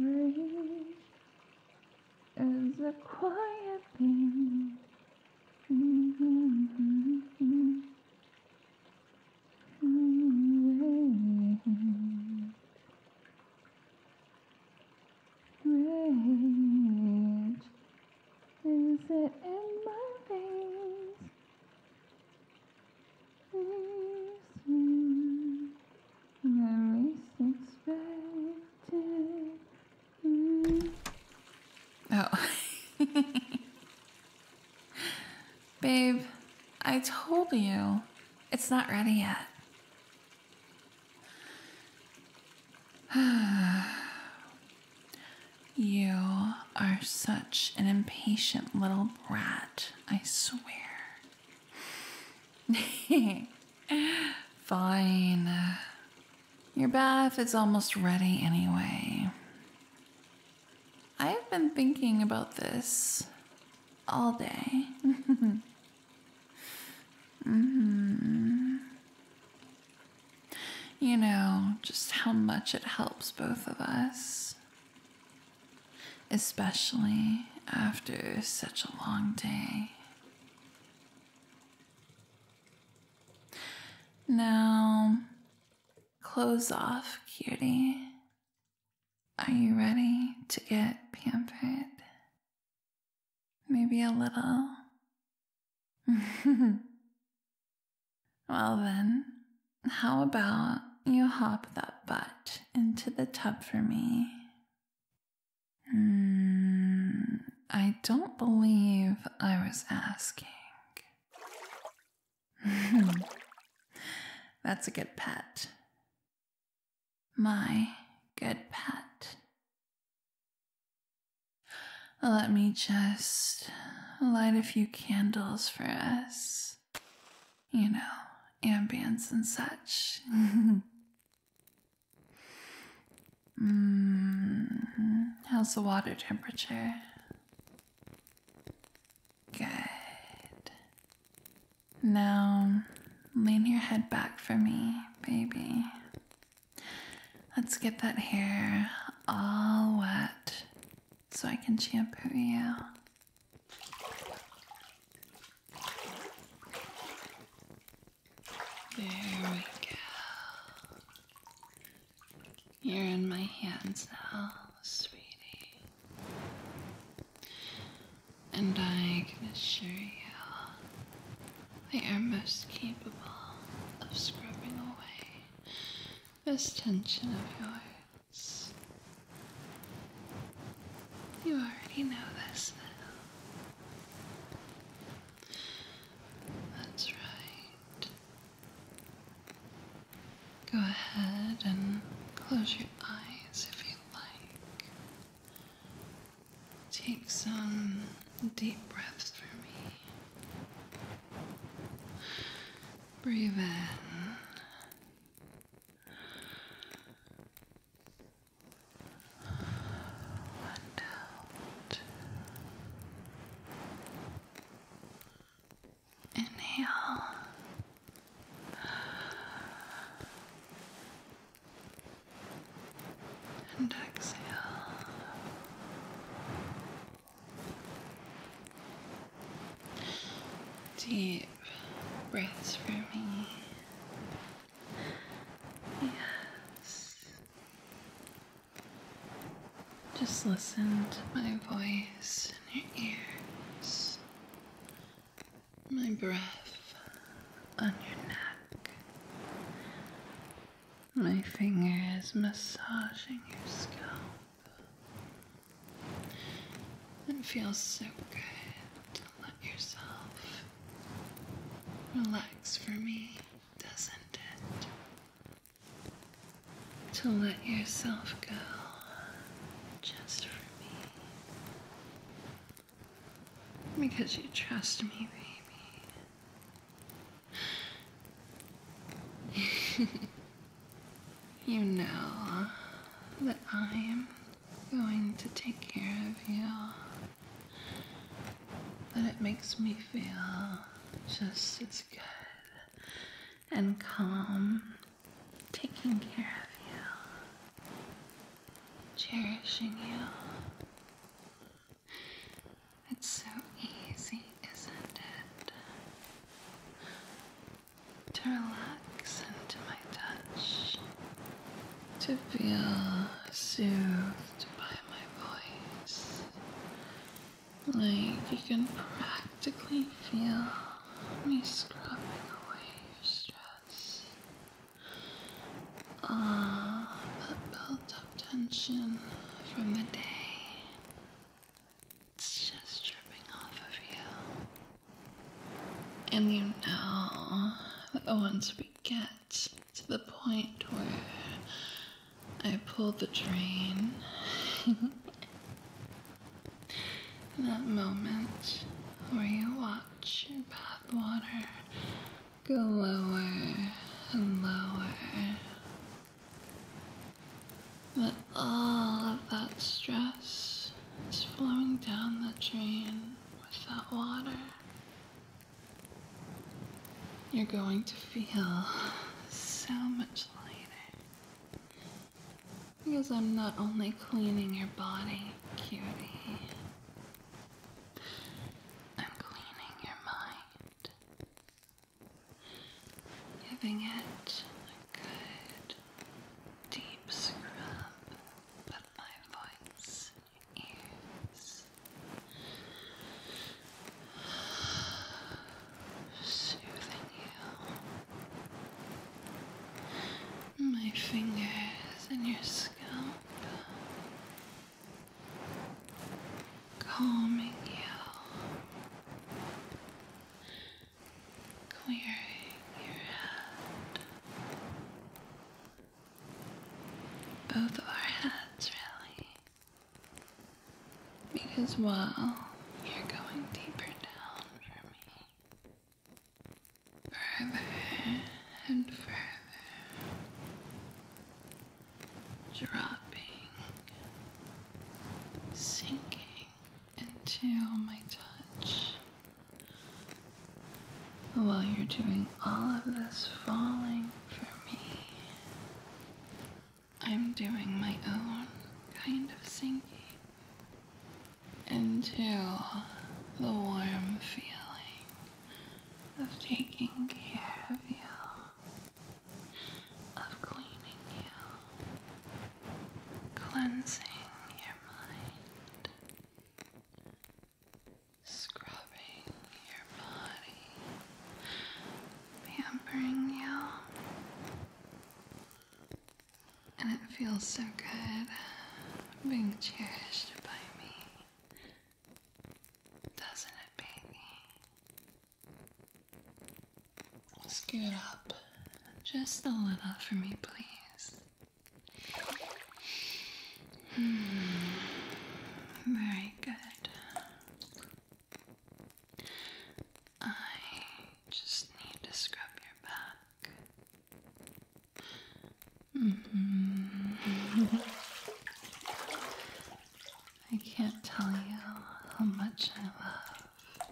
Rain is it quiet thing. mm Is it in my veins? Oh. Babe, I told you. It's not ready yet. You are such an impatient little brat, I swear. Fine. Your bath is almost ready anyway. I've been thinking about this all day. -hmm. You know, just how much it helps both of us. Especially after such a long day. Now, clothes off, cutie. Are you ready to get pampered? Maybe a little well, then, how about you hop that butt into the tub for me? Mm, I don't believe I was asking. That's a good pet. My good pet. Let me just light a few candles for us. You know, ambience and such. Mm-hmm. how's the water temperature? Good. Now, lean your head back for me, baby. Let's get that hair all wet so I can shampoo you. There we go. You're in my hands now, sweetie. And I can assure you they are most capable of scrubbing away this tension of yours. You already know this now. That's right. Go ahead and close your eyes if you like. Take some deep breaths for me. Breathe in. One Inhale and exhale. Deep breaths for me. Yes. Just listen to my voice in your ears, my breath on your neck, my finger is massaging your scalp. It feels so good to let yourself relax for me, doesn't it? To let yourself go just for me. Because you trust me, baby. you know that I am going to take care of you. That it makes me feel just as good and calm taking care of you, cherishing you it's so easy, isn't it? To relax into my touch, to feel soothed by my voice. Like you can practically feel me scrubbing away your stress uh, that built up tension from the day. It's just dripping off of you. And you know that once we get to the point where I pull the drain, that moment where you watch hot water. Go lower and lower. But all of that stress is flowing down the drain with that water. You're going to feel so much lighter. Because I'm not only cleaning your body, cutie, I'm cleaning your mind, giving it a good deep scrub, but my voice is Soothing you my fingers in your scalp, calming you, clearing your head. Both of our heads, really. Because while you're going deeper down for me, further and further, dropping, sinking until my touch. While you're doing all of this falling for me, I'm doing my own kind of sinking into the warm feeling of taking care of you, of cleaning you, cleansing your mind, scrubbing your body, pampering you. And it feels so good being cherished by me. Doesn't it, baby? Scoot up just a little for me, please. Hmm. Very good. I just need to scrub your back Mm-hmm. I can't tell you how much I love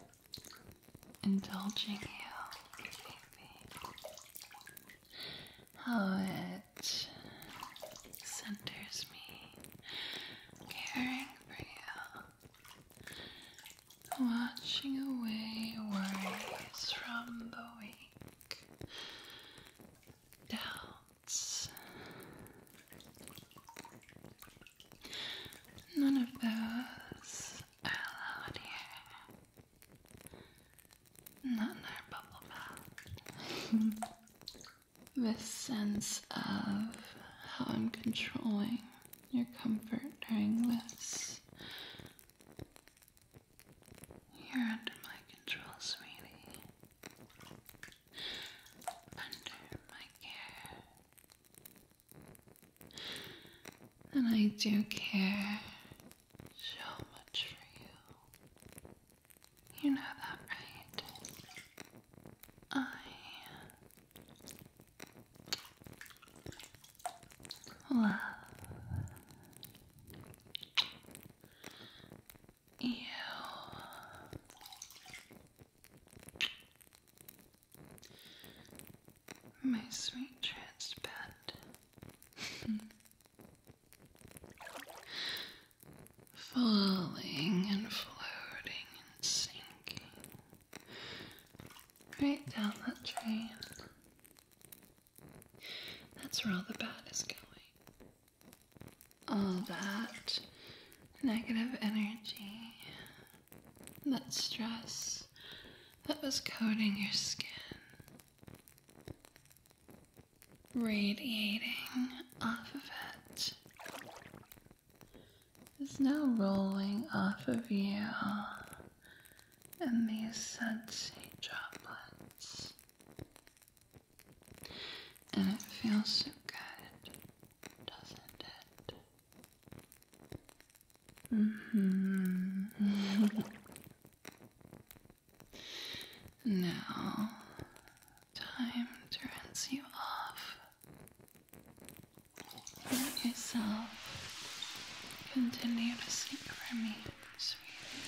indulging you, baby. How it centers me, caring for you, Watching away worries from the week, doubts. None of those allowed here. Not in our bubble bath. this sense of how I'm controlling your comfort during this. You're under my control, sweetie. Under my care. And I do care so much for you. You know that, right? I Love. You. My sweet trans Falling and floating and sinking right down that drain. That's where all the bad is going. All that negative energy, that stress that was coating your skin, radiating off of it is now rolling off of you in these sensei droplets. And it feels so good, doesn't it? Mm-hmm. now, time to you off. Let yourself continue to sleep for me, sweetie.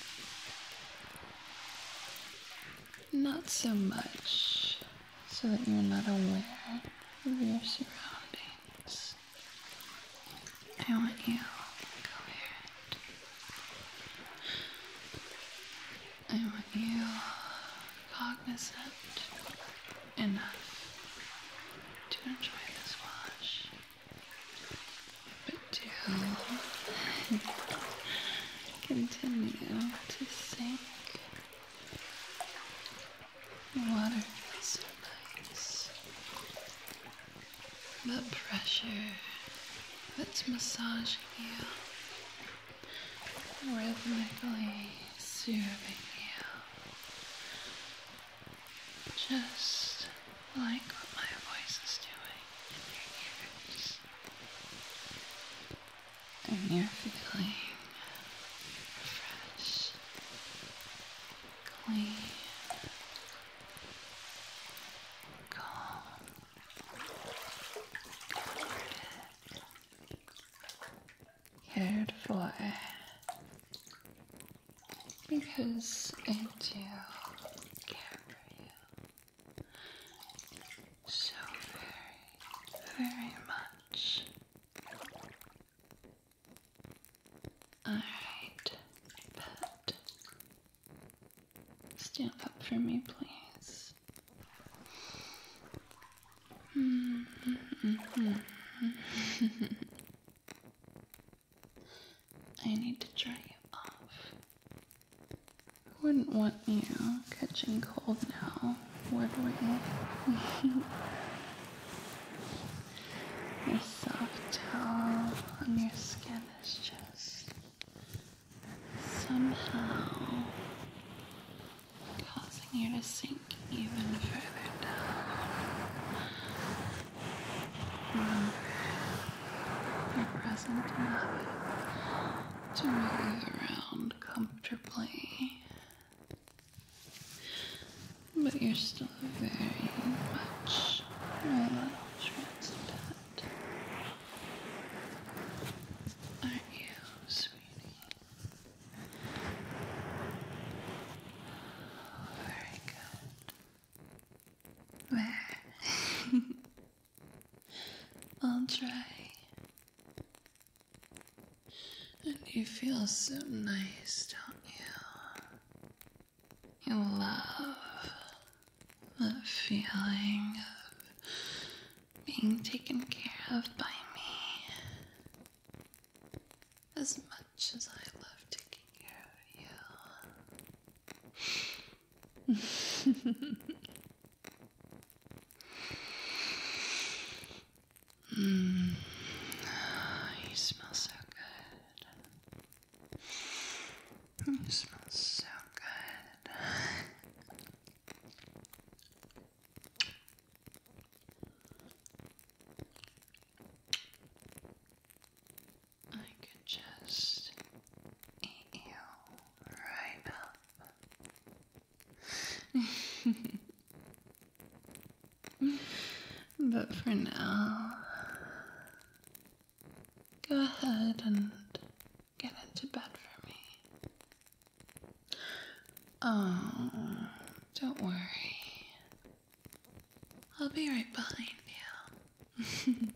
Not so much so that you're not aware of your surroundings. I want you to go coherent. I want you cognizant enough to enjoy this wash, but to continue to sink. The water is so nice. The pressure its massaging you rhythmically soothing you, just like what my voice is doing in your ears, and you're feeling refreshed, clean. Calm, cared for because I do care for you so very, very much. Alright, pet. Stand up for me, please. I need to dry you off. Wouldn't want you catching cold now, would we? your soft towel on your skin is just somehow causing you to sink even further down. Remember your present habit to move around comfortably. But you're still very much, very much Aren't you, sweetie? Very good. There. I'll try. And you feel so nice, don't you? You love the feeling of being taken care of by me. As much as I love taking care of you. Mm. you smell so good. You smell so good. I could just eat you right up. but for now, go ahead and get into bed for me. Oh, don't worry. I'll be right behind you.